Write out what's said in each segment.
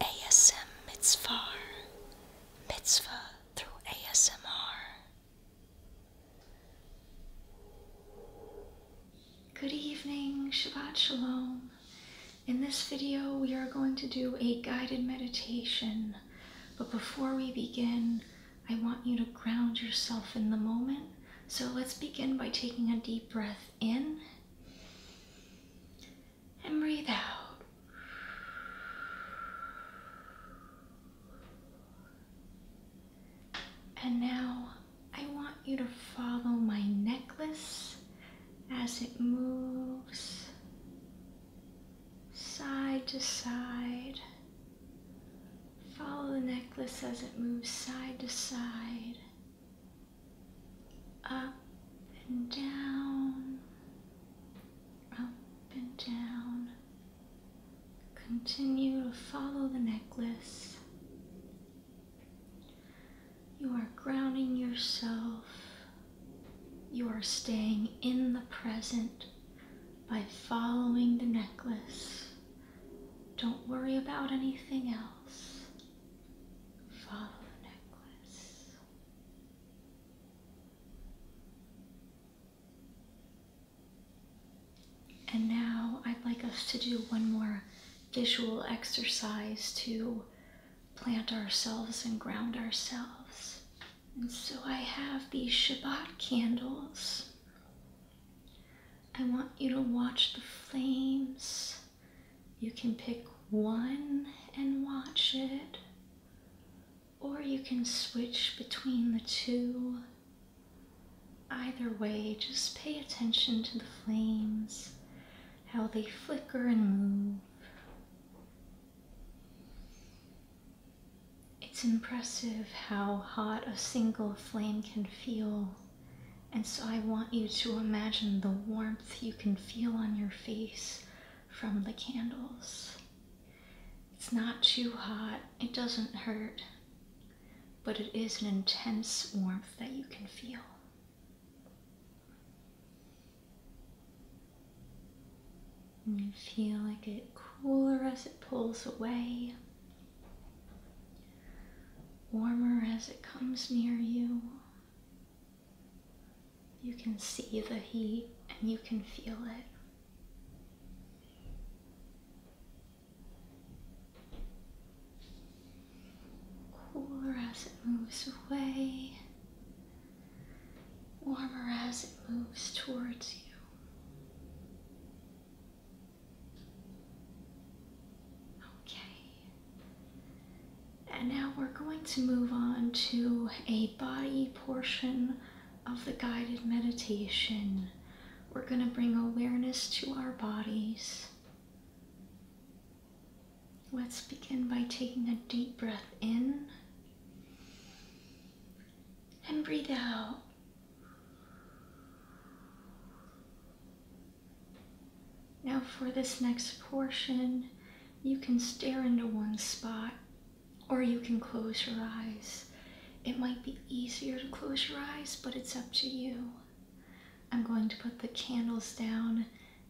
ASM Mitzvah, Mitzvah through ASMR. Good evening, Shabbat Shalom. In this video, we are going to do a guided meditation. But before we begin, I want you to ground yourself in the moment. So let's begin by taking a deep breath in and breathe out. And now I want you to follow my necklace as it moves side to side. Follow the necklace as it moves side to side. Up and down, up and down. Continue to follow the necklace. You are grounding yourself. You are staying in the present by following the necklace. Don't worry about anything else. Follow the necklace. And now I'd like us to do one more visual exercise to plant ourselves and ground ourselves. And so I have these Shabbat candles. I want you to watch the flames you can pick one and watch it, or you can switch between the two. Either way, just pay attention to the flames, how they flicker and move. It's impressive how hot a single flame can feel and so I want you to imagine the warmth you can feel on your face from the candles. It's not too hot, it doesn't hurt, but it is an intense warmth that you can feel. you feel like it cooler as it pulls away, warmer as it comes near you. You can see the heat and you can feel it. Cooler as it moves away, warmer as it moves towards you. Okay, and now we're going to move on to a body portion of the guided meditation. We're going to bring awareness to our bodies. Let's begin by taking a deep breath in and breathe out. Now for this next portion, you can stare into one spot or you can close your eyes. It might be easier to close your eyes, but it's up to you. I'm going to put the candles down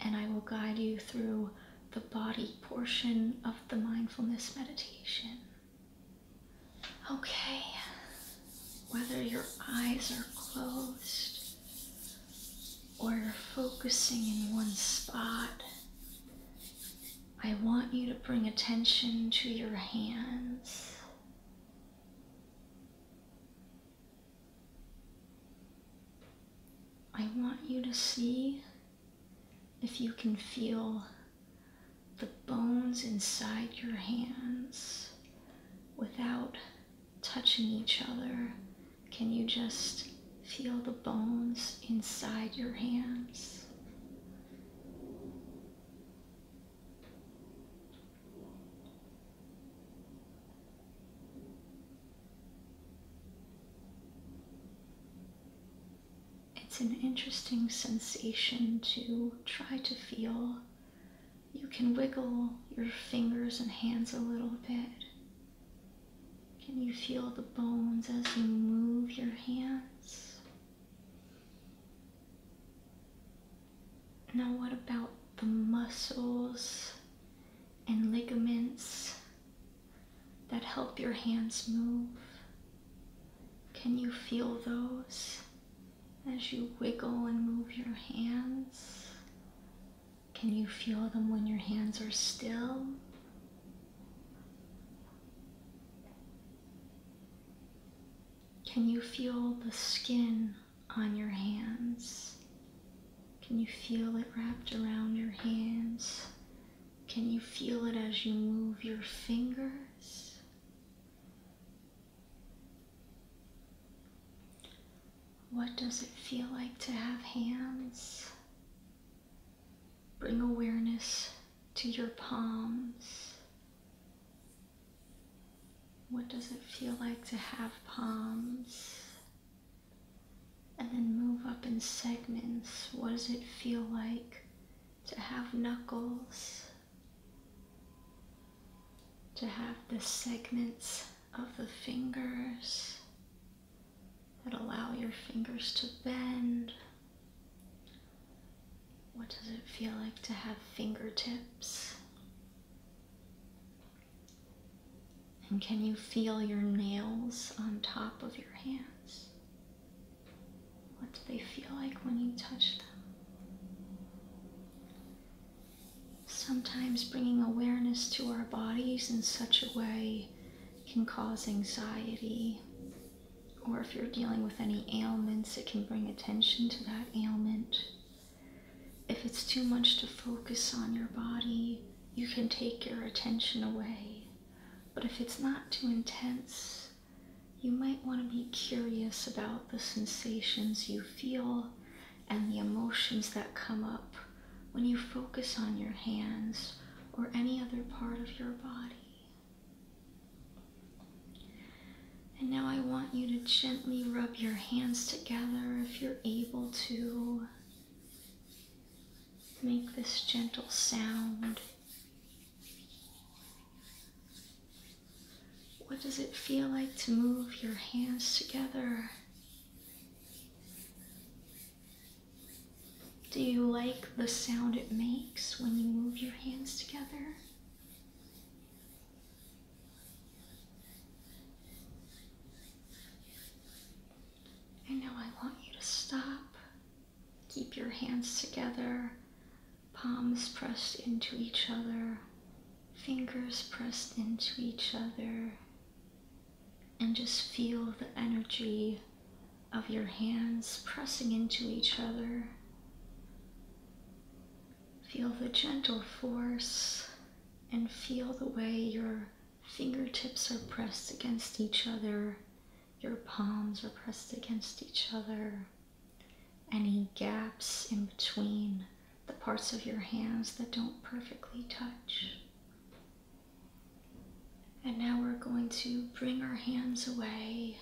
and I will guide you through the body portion of the mindfulness meditation. Okay, whether your eyes are closed or focusing in one spot, I want you to bring attention to your hands. I want you to see if you can feel the bones inside your hands without touching each other. Can you just feel the bones inside your hands? It's an interesting sensation to try to feel you can wiggle your fingers and hands a little bit. Can you feel the bones as you move your hands? Now, what about the muscles and ligaments that help your hands move? Can you feel those as you wiggle and move your hands. Can you feel them when your hands are still? Can you feel the skin on your hands? Can you feel it wrapped around your hands? Can you feel it as you move your fingers? What does it feel like to have hands? Bring awareness to your palms. What does it feel like to have palms? And then move up in segments. What does it feel like to have knuckles? to have the segments of the fingers that allow your fingers to bend. What does it feel like to have fingertips? And can you feel your nails on top of your hands? What do they feel like when you touch them? Sometimes bringing awareness to our bodies in such a way can cause anxiety, or if you're dealing with any ailments, it can bring attention to that ailment. If it's too much to focus on your body, you can take your attention away. But if it's not too intense, you might want to be curious about the sensations you feel and the emotions that come up when you focus on your hands or any other part of your body. And now I want you to gently rub your hands together if you're able to. Make this gentle sound. What does it feel like to move your hands together? Do you like the sound it makes when you move your hands together? And now I want you to stop, keep your hands together palms pressed into each other, fingers pressed into each other, and just feel the energy of your hands pressing into each other. Feel the gentle force and feel the way your fingertips are pressed against each other, your palms are pressed against each other any gaps in between the parts of your hands that don't perfectly touch. And now we're going to bring our hands away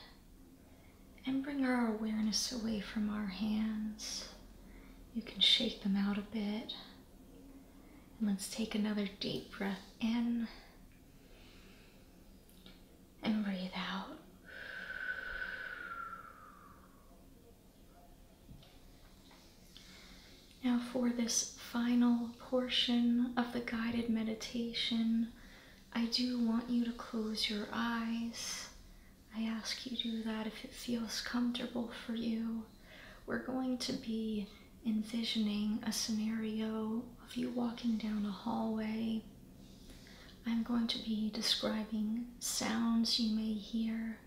and bring our awareness away from our hands. You can shake them out a bit. And let's take another deep breath in and breathe out. Now, for this final portion of the guided meditation, I do want you to close your eyes. I ask you to do that if it feels comfortable for you. We're going to be envisioning a scenario of you walking down a hallway I'm going to be describing sounds you may hear,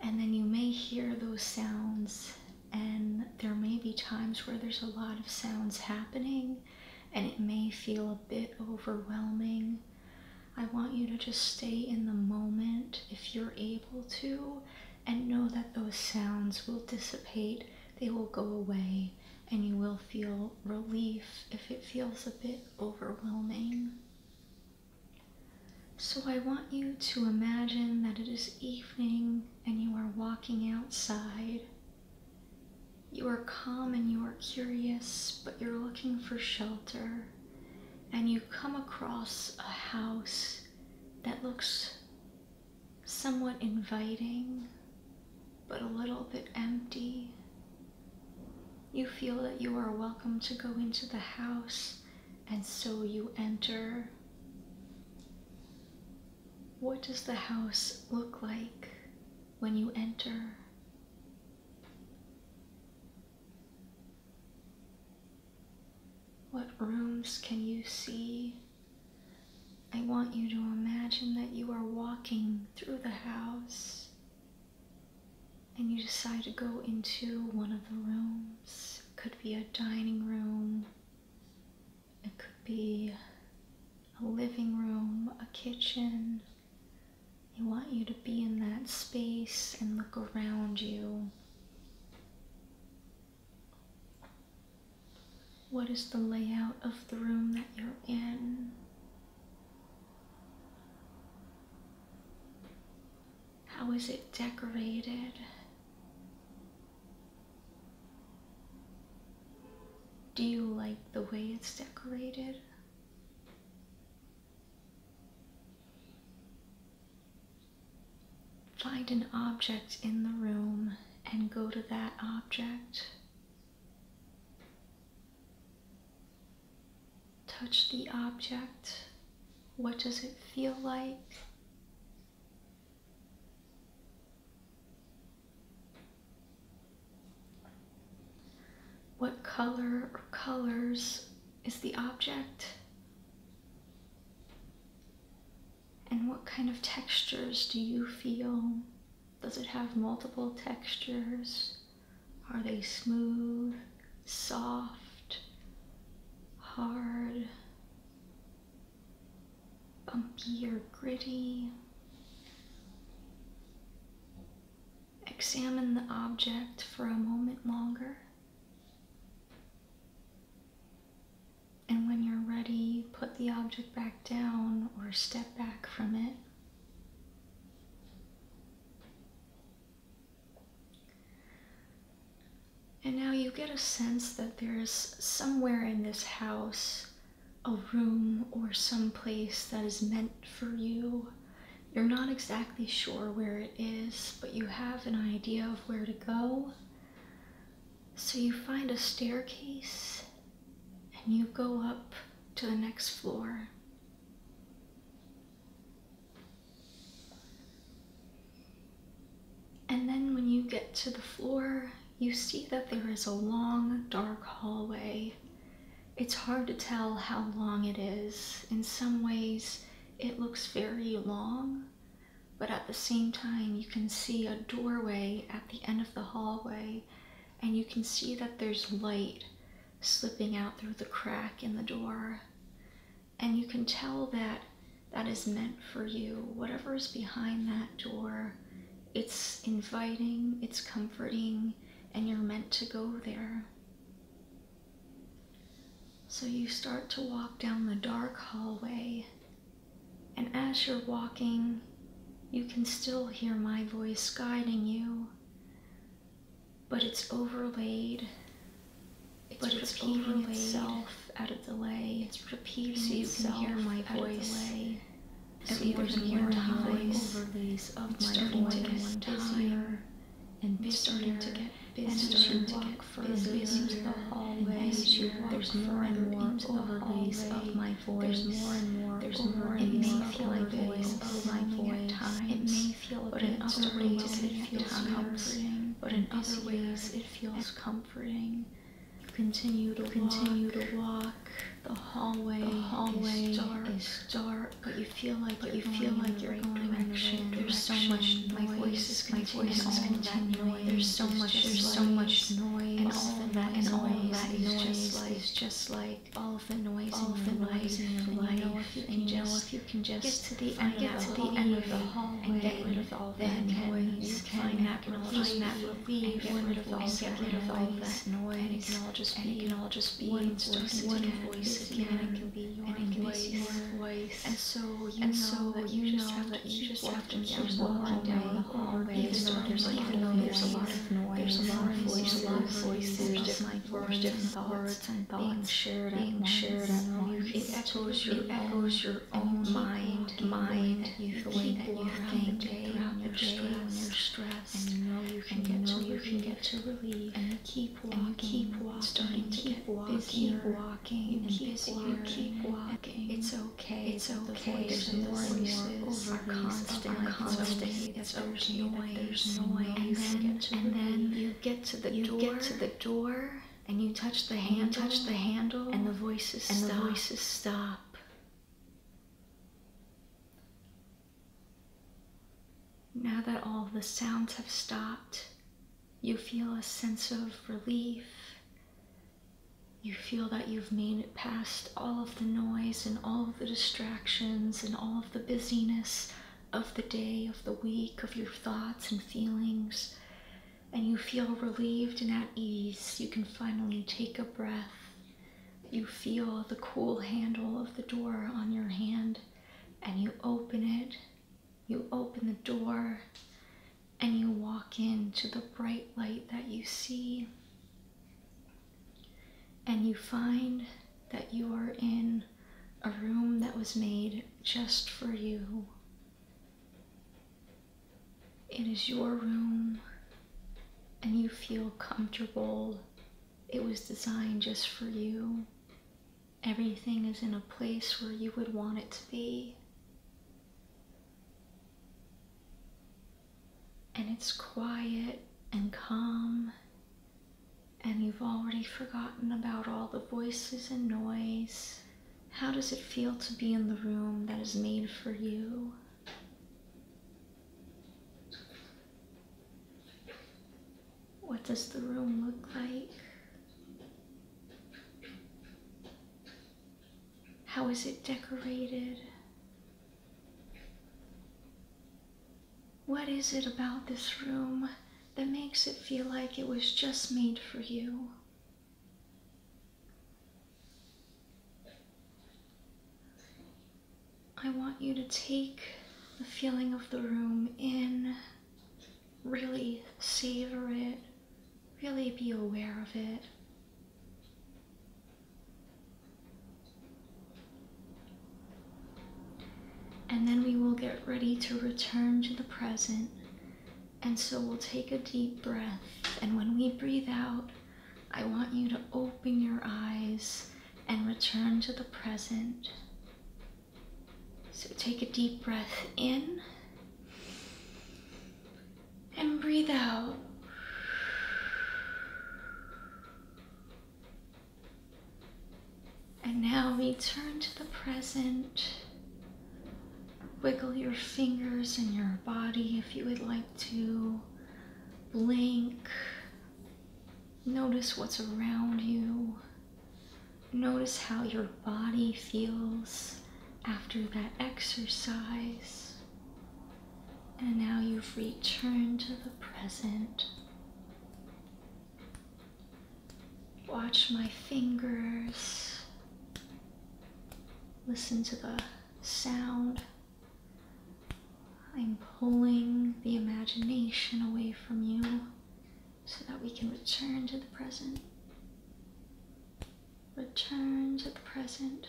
and then you may hear those sounds, and there may be times where there's a lot of sounds happening, and it may feel a bit overwhelming. I want you to just stay in the moment if you're able to, and know that those sounds will dissipate, they will go away, and you will feel relief if it feels a bit overwhelming. So I want you to imagine that it is evening and you are walking outside. You are calm and you are curious, but you're looking for shelter. And you come across a house that looks somewhat inviting, but a little bit empty. You feel that you are welcome to go into the house, and so you enter. What does the house look like when you enter? What rooms can you see? I want you to imagine that you are walking through the house and you decide to go into one of the rooms. It could be a dining room, it could be a living room, a kitchen. I want you to be in that space and look around you. What is the layout of the room that you're in? How is it decorated? Do you like the way it's decorated? Find an object in the room and go to that object. Touch the object. What does it feel like? What color or colors is the object? And what kind of textures do you feel does it have multiple textures? Are they smooth, soft, hard, bumpy or gritty? Examine the object for a moment longer. And when you're ready, put the object back down or step back from it. And now you get a sense that there is somewhere in this house a room or some place that is meant for you. You're not exactly sure where it is, but you have an idea of where to go. So you find a staircase and you go up to the next floor. And then when you get to the floor, you see that there is a long, dark hallway. It's hard to tell how long it is. In some ways, it looks very long, but at the same time, you can see a doorway at the end of the hallway and you can see that there's light slipping out through the crack in the door. And you can tell that that is meant for you. Whatever is behind that door, it's inviting, it's comforting, and you're meant to go there. So you start to walk down the dark hallway and as you're walking, you can still hear my voice guiding you, but it's overlaid. It's but it's overlaid itself out of the way. It's repeating so you itself can hear my voice. So Every more than one time, overlays of it's my starting voice to get one time. And busier, starting to get busier, and as you walk further busier, into the hallway, and as you walk there's more and more into overlays the hallway, of my voice. There's more and more. There's more and more. It may feel like voice overwhelming at times. It may feel a but in other ways it feels comforting. But in other ways it feels comforting. Continue to continue to walk. The hallway, the hallway is dark, is dark, but you feel like but you feel like you're going direction. There's so much noise. My voice is my voice is continuing. There's so much there's so much noise. And all all that noise and all that is, noise just like, is just like all of the noise all of the noise in your life. And you know if you can just, you can just get to the end, get to the end of the hallway and get rid of all that noise. You find that relief, that relief, get rid of all that noise, and it can all just be, it can all just be one voice, one voice again, and it can be your voice, and so you know that you just have to keep often seems walking down the hall, even though there's, there's a lot of noise, there's a lot of voices, a lot of voices, there's different words, and thoughts shared being shared at once. It echoes your, echoes your own mind, mind, you the way that you think throughout your stress, and you know you can get to, you can get to relief, and keep walking, keep walking, starting to keep walking, keep walking, and keep walking, keep walking. It's okay okay. It's okay. The voices, the voices are constant, are constant. It's okay. There's noise. And then, and then you get to the door. You get to the door, and you touch the handle. You touch the handle, and the voices and the voices stop. Now that all the sounds have stopped, you feel a sense of relief you feel that you've made it past all of the noise and all of the distractions and all of the busyness of the day, of the week, of your thoughts and feelings, and you feel relieved and at ease. You can finally take a breath. You feel the cool handle of the door on your hand, and you open it. You open the door, and you walk into the bright light that you see, and you find that you are in a room that was made just for you. It is your room, and you feel comfortable. It was designed just for you. Everything is in a place where you would want it to be. And it's quiet and calm, and you've already forgotten about all the voices and noise. How does it feel to be in the room that is made for you? What does the room look like? How is it decorated? What is it about this room that makes it feel like it was just made for you? I want you to take the feeling of the room in, really savor it, really be aware of it. And then we will get ready to return to the present. And so we'll take a deep breath. And when we breathe out, I want you to open your eyes and return to the present. So take a deep breath in and breathe out. And now return to the present. Wiggle your fingers and your body if you would like to. Blink. Notice what's around you. Notice how your body feels after that exercise. And now you've returned to the present. Watch my fingers. Listen to the sound. I'm pulling the imagination away from you so that we can return to the present. Returns at the present.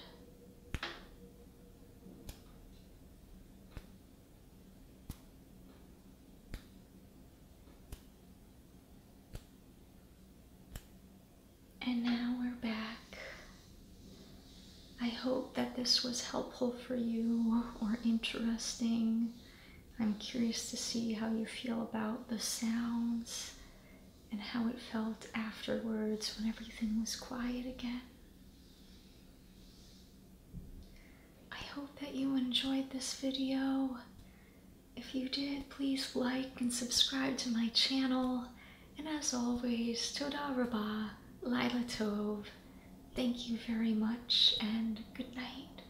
And now we're back. I hope that this was helpful for you or interesting. I'm curious to see how you feel about the sounds and how it felt afterwards when everything was quiet again. I hope that you enjoyed this video. If you did, please like and subscribe to my channel. And as always, Toda Rabah, Lila Tov. Thank you very much and good night.